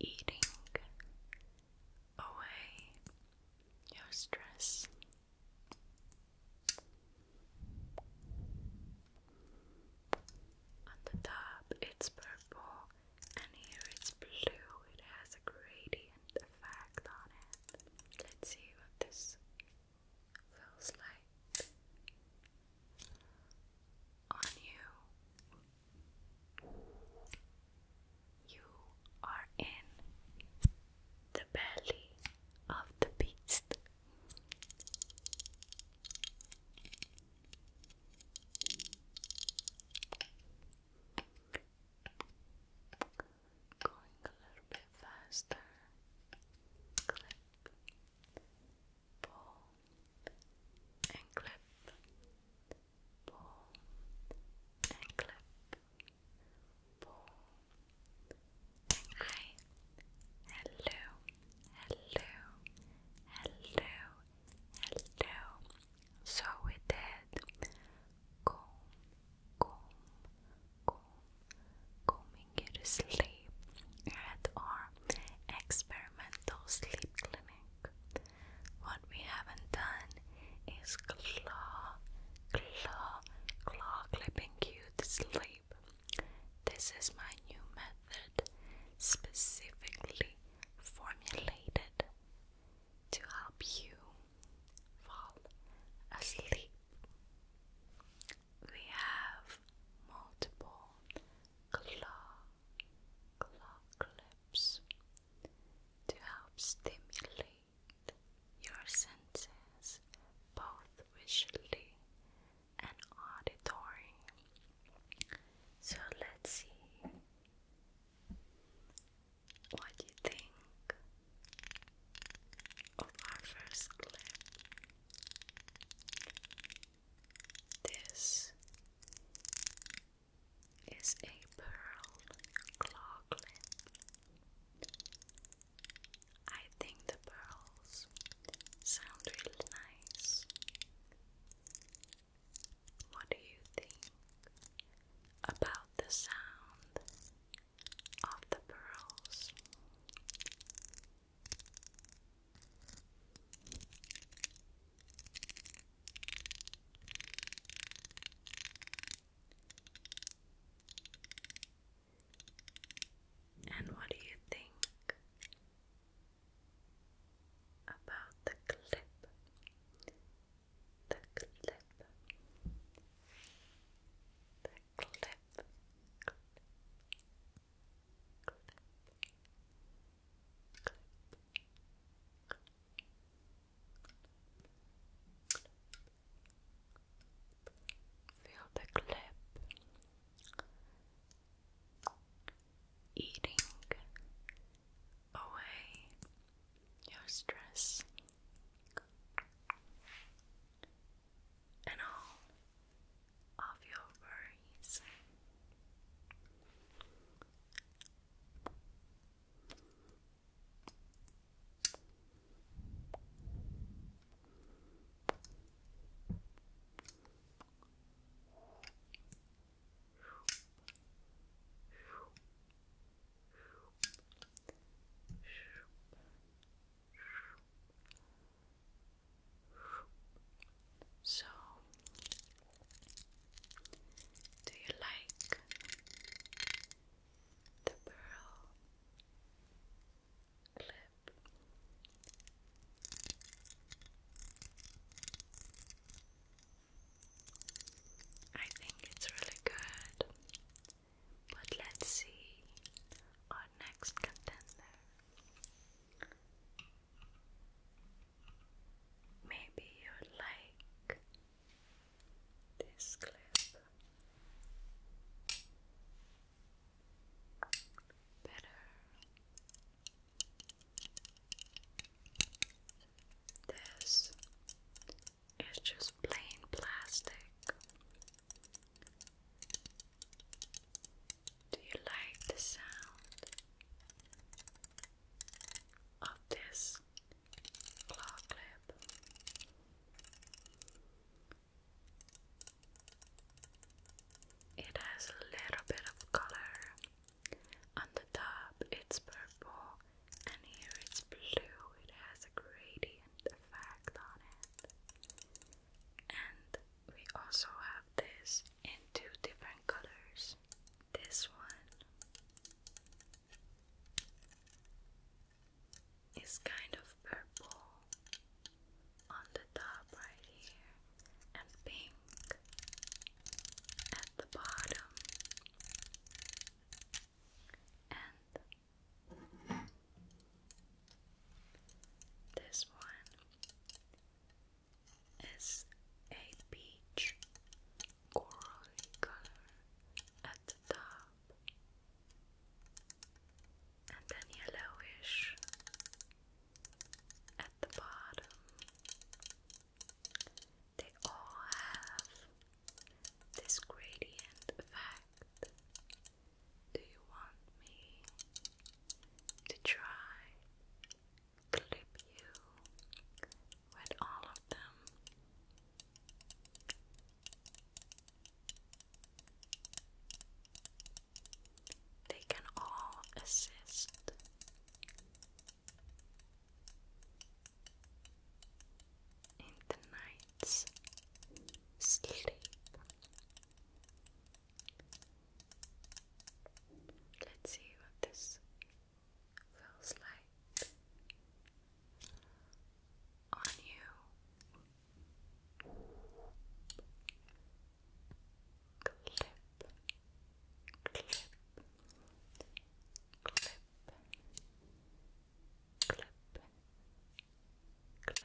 eating away your stress. On the top, it's purple, and here it's blue. It has a gradient effect on it. Let's see what this feels like on you. You are in the belly of the beast. Going a little bit faster. Clip, pull, and clip pull and clip, pull and hi, hello, hello, hello, hello. So we did Go, comb, comb, combing you to sleep at our experimental sleep clinic. What we haven't done is claw, claw, claw clipping you to sleep. This is my new method specifically formulated to help you fall asleep. We have multiple claw, claw clips to help stimulate your senses both visually and auditory. So let's see what you think of our first clip. This is a pearl clocklet. I think the pearls sound really nice. What do you think about the sound of the pearls? And what do you think about the clip? The clip. The clip. clip. clip. Feel the clip eating away your stress and all of your worries. So, do you like the pearl clip? I think it's really good, but let's see our next contender. Maybe you like this clip better this is just plain plastic do you like the sound of this claw clip? It has a little bit of color. On the top, it's purple, and here it's blue. It has a gradient effect on it. And we also have this in two different colors. This one is kind of purple on the top right here and pink at the bottom and this one is a peach corally color at the top and then yellowish at the bottom. They all have this gradient effect. Do you want me to try clip you with all of them. They can all assist. In the night's sleep, Let's see what this feels like on you. Clip, clip, clip, clip, clip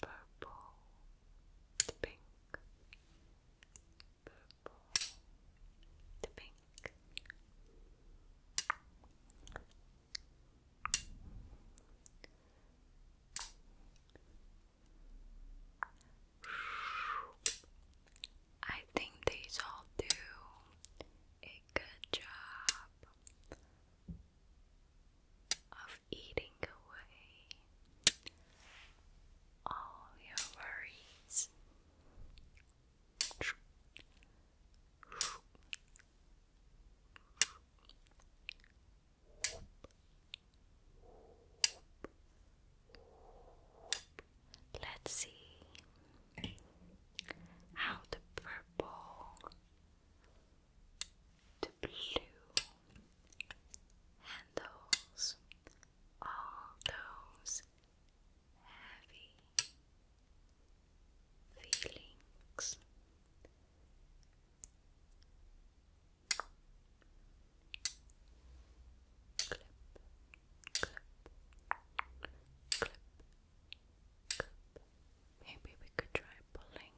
purple, to pink, purple, to pink. I think these all do a good job of eating away all your worries. Let's see how the purple, the blue, handles, all those heavy feelings. Clip, clip, clip, clip. Maybe we could try pulling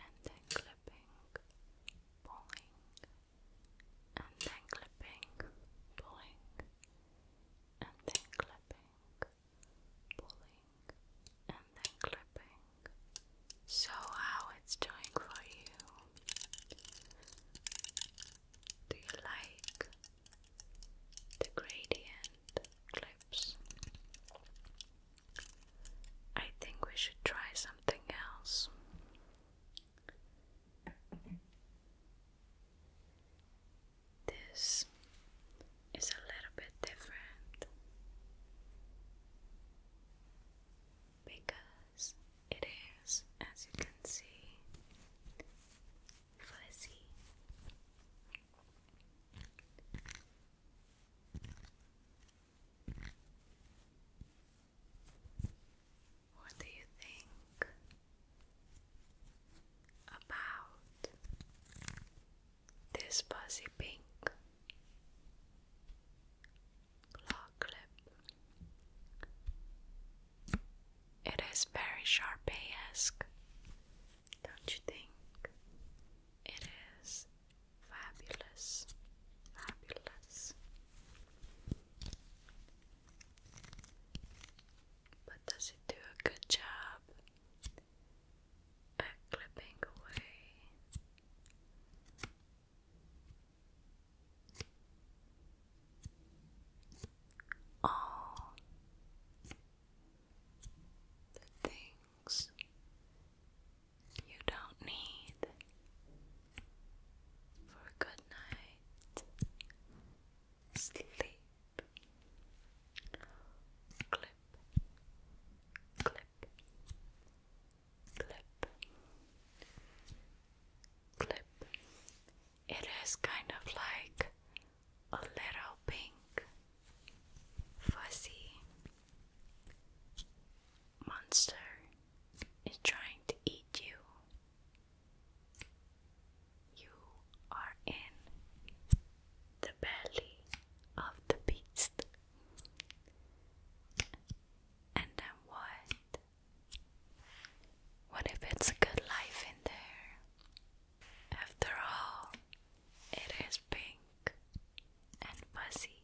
and then clipping, pulling, and then clipping, pulling, and then clipping, pulling, and then clipping. So, how it's doing for you? Do you like the gradient clips? I think we should try something else. This is a little bit different because it is, as you can see, fuzzy. What do you think about this fuzzy pink claw clip? It is very Sharpay-esque don't you think it is fabulous? Fabulous. But does it do a good job at clipping away? All the things you don't need for a good night sleep. Clip, clip, clip, clip. It is kind of like a little pink fuzzy monster is trying to eat you. You are in the belly of the beast. And then what? What if it's a good life in there? After all, it is pink and fuzzy,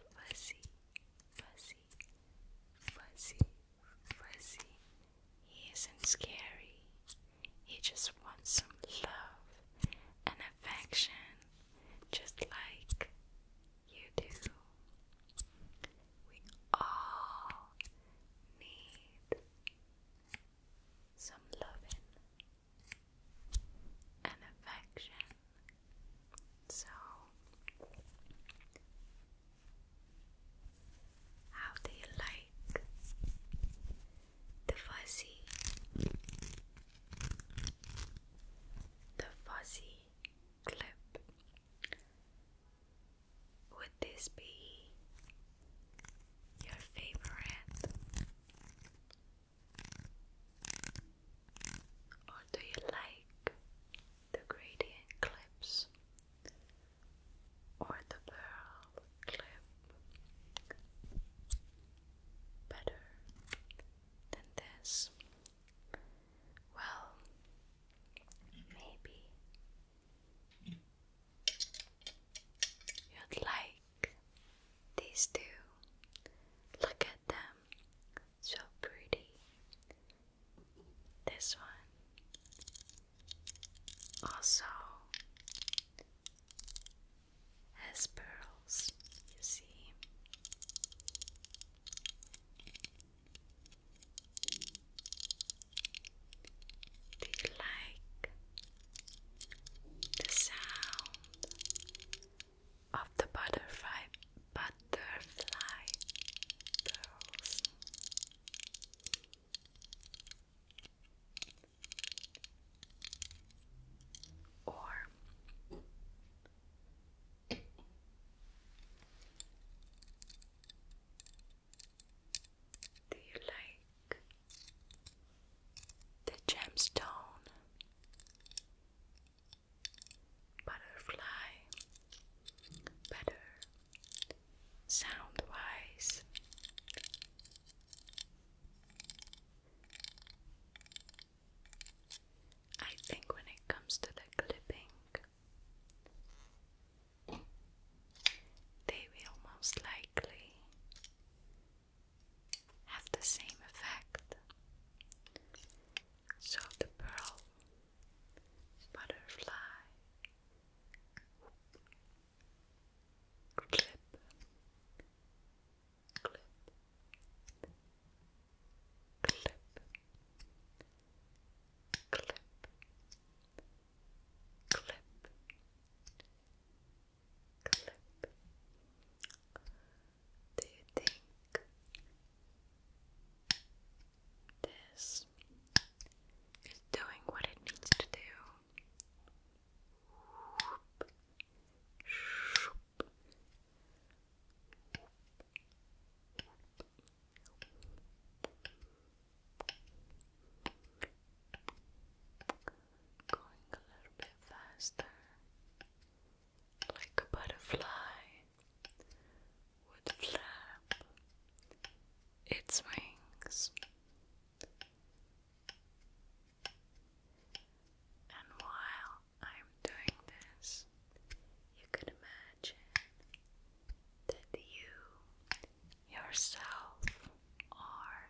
fuzzy, fuzzy, fuzzy, fuzzy. He isn't scary. He just wants some love and affection, just like you do. We all need some loving and affection. So, how do you like the fuzzy? The fuzzy clip. Would this be your favorite? Or do you like the gradient clips or the pearl clip better than this? Well, maybe you like these two, look at them, so pretty. This one also has pearls, you see. Do you like the sound of the butterfly butterfly Or do you like the gemstone, butterfly, better sound wise. I think when it comes to the clipping, they will most likely have the same effect. So the pearl butterfly clip clip clip clip clip clip. Do you think this is doing what it needs to do? going a little bit faster, like a butterfly would flap its wings. And while I'm doing this, you can imagine that you yourself are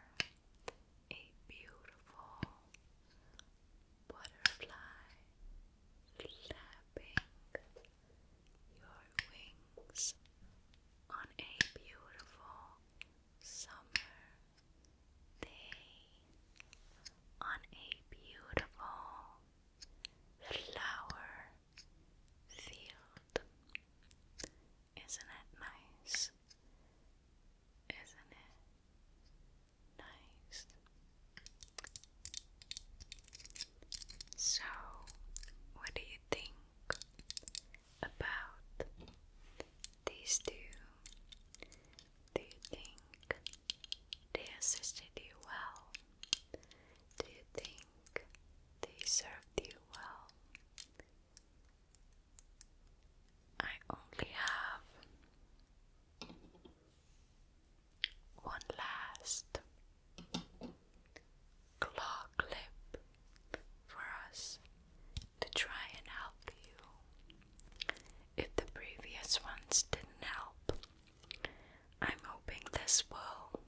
a beautiful butterfly flapping your wings on a beautiful summer day on a beautiful flower field isn't it nice? Isn't it nice? So, what do you think about these two? Do you think they assisted you well? Do you think they served you well? I only have one last claw clip for us to try and help you. If the previous ones didn't help, I'm hoping this will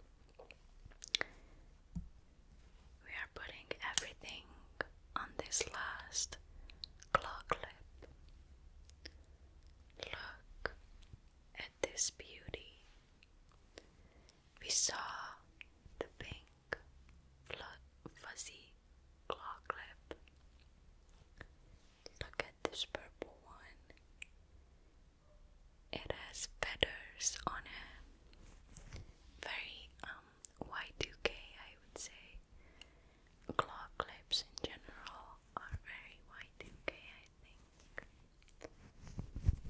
we are putting everything on this last claw Look at this beauty. We saw the pink fuzzy claw clip. Look at this purple one. It has feathers on it very um Y2K I would say. Claw clips in general are very white UK. I think.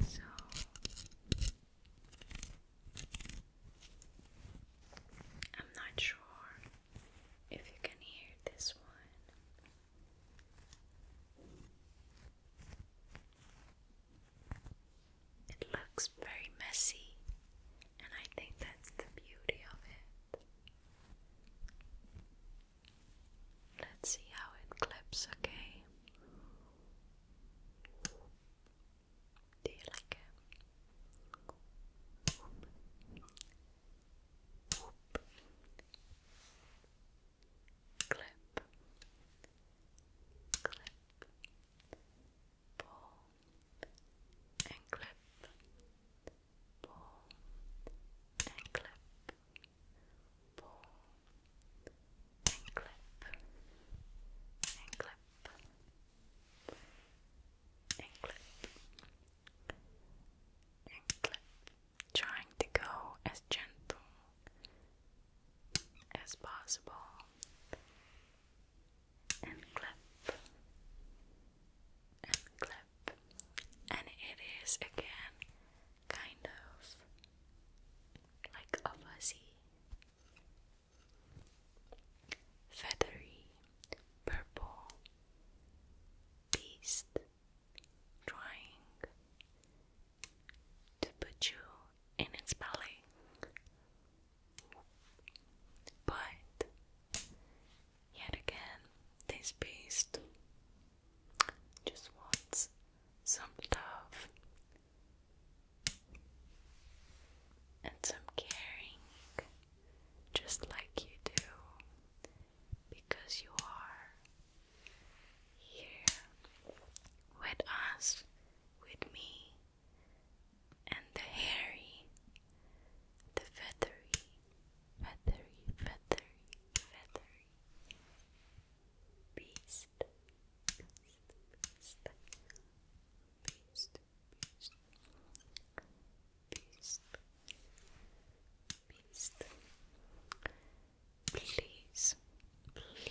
So I'm not sure if you can hear this one. It looks very messy, and I think that's the beauty of it. Let's see how it clips, okay? Do Clip. Clip pull and clip, pull and clip, pull and clip, and clip, and clip, and clip, trying to go as gentle as possible and clap and clap and it is again kind of like a fuzzy feathery purple beast drawing to put you in its belly. But yet again, this beast just wants some love and some caring, just like you do, because you are here with us with me and the hairy, the feathery, feathery, feathery, feathery beast, beast, beast, beast, beast, beast, Please,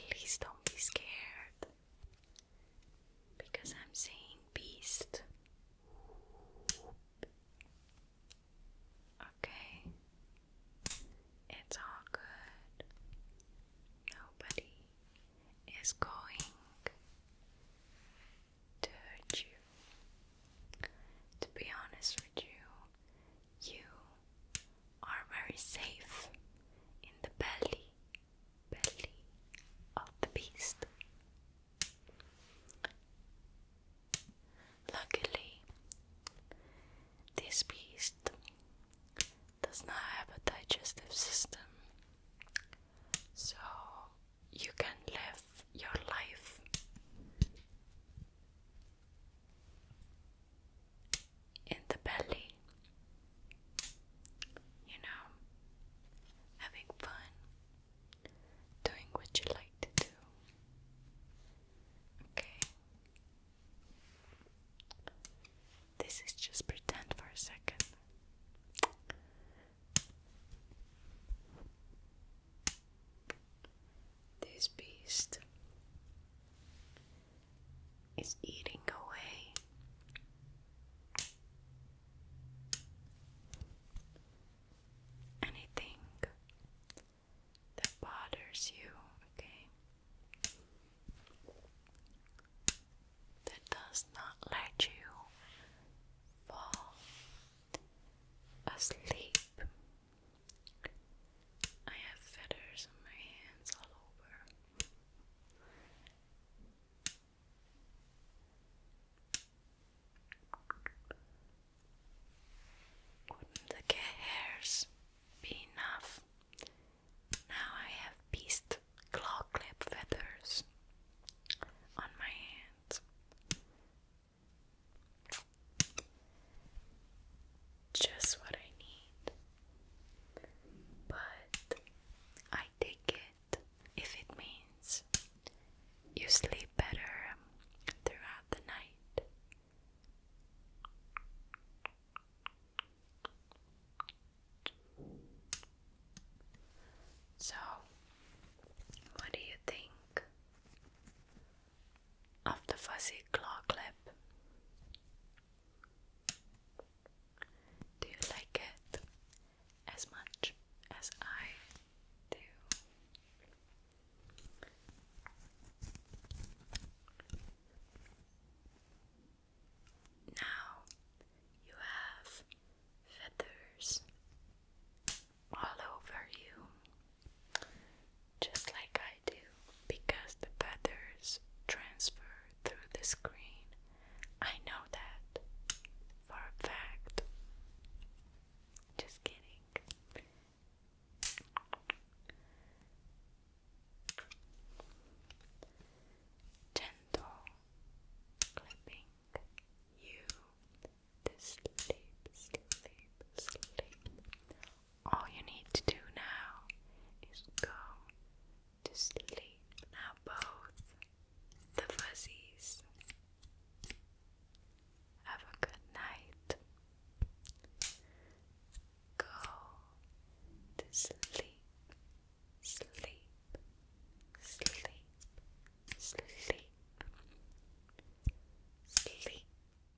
please don't be scared. Because I'm saying beast. Okay. It's all good. Nobody is going to hurt you. To be honest with you, you are very safe in the belly, belly of the beast. Luckily, this beast does not have a digestive system, so you can live your life in the belly. You know, having fun, doing what you like to do. Okay? This is just pretend for a second. This beast is eating away. Anything that bothers you, okay? That does not let you fall asleep. I have feathers on my hands all over. Wouldn't the hairs be enough? Now I have beast claw clip feathers on my hands just what I need, but I take it if it means you sleep better throughout the night. So, what do you think? of the fuzzy claw clip. Do you like it as much as I do? Now you have feathers all over you just like I do, because the feathers transfer through the screen. I know that for a fact. Just kidding. Gentle clipping you sleep, sleep, sleep all you need to do now is go to sleep. Now, both the fuzzies have a good night. Go to sleep, sleep, sleep, sleep, sleep.